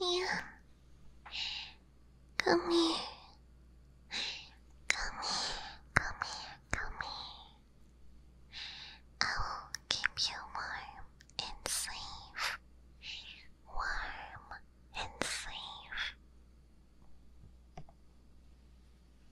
Meow. Come here. Come here, come here, come here. I will keep you warm and safe. Warm and safe.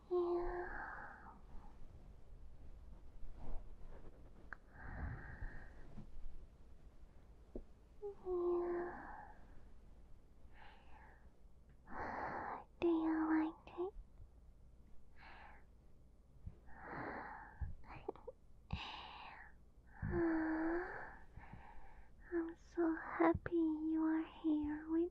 Yeah. you. Do you like it? I'm so happy you are here with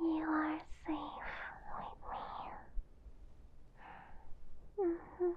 You are safe with me. Mm -hmm.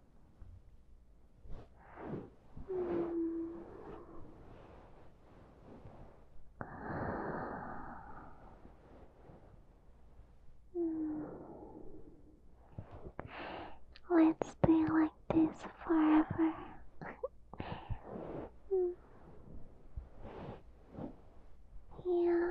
Let's stay like this forever. yeah.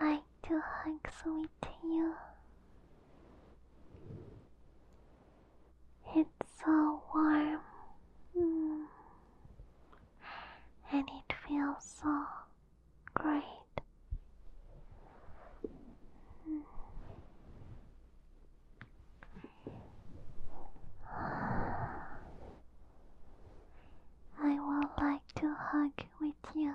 I like to hug with you. It's so warm. Mm, and it feels so great. Mm. I would like to hug with you.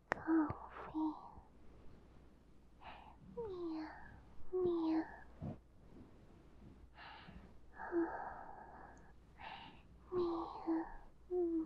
coffee. Meow, meow. meow. Mm.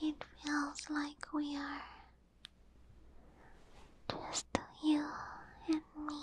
It feels like we are just you and me.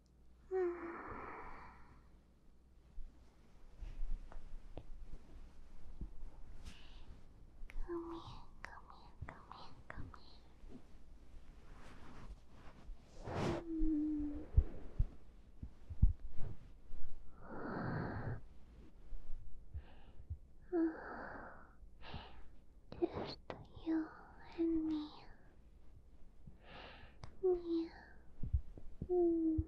Come here, come here, come here, come here. Mm. Just you and me. Yeah. Mm.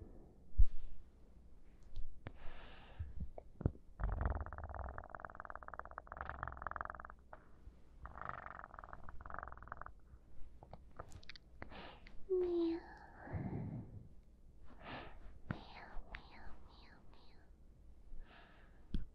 Meow. Meow, meow, meow, meow.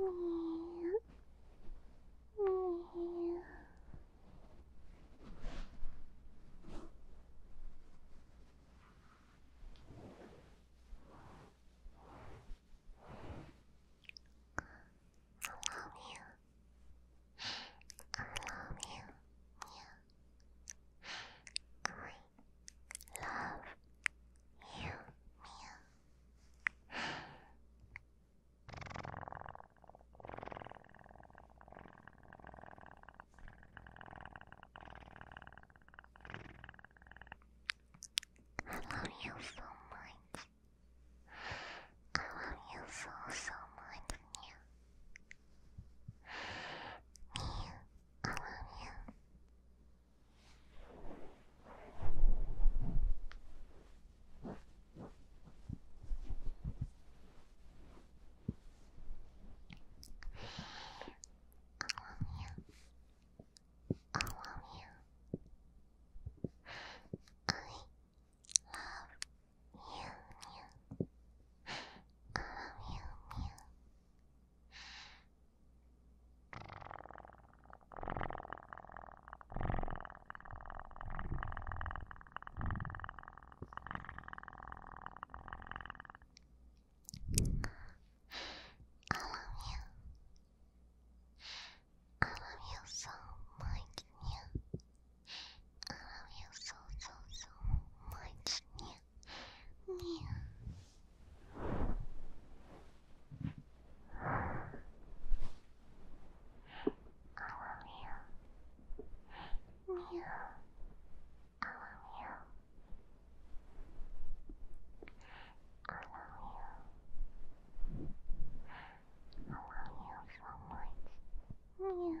I love you. Yeah. I love you, Mia. I love you so much. I love you so so much, Mia. Mia, I love you. I love you. you. I love you. you. I love you. I love you so much, yeah. I love you so, so, so much, you. I love you. I love you. I love you so much. Meow.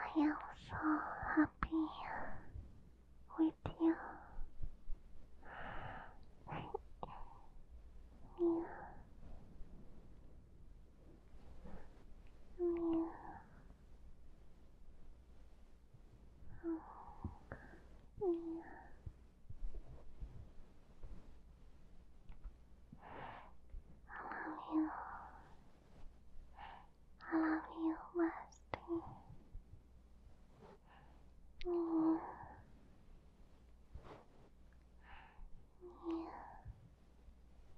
I am so happy with you. yeah. Oh. Oh. Yeah. I love you. I love you, Musty. Yeah. Yeah.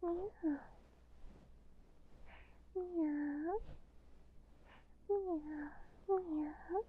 喵，喵，喵，喵，喵。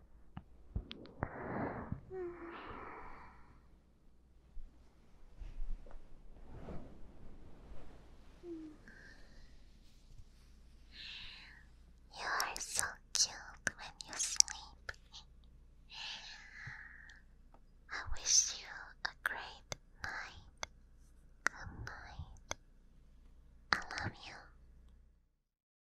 You are so cute when you sleep. I wish you a great night. Good night. I love you.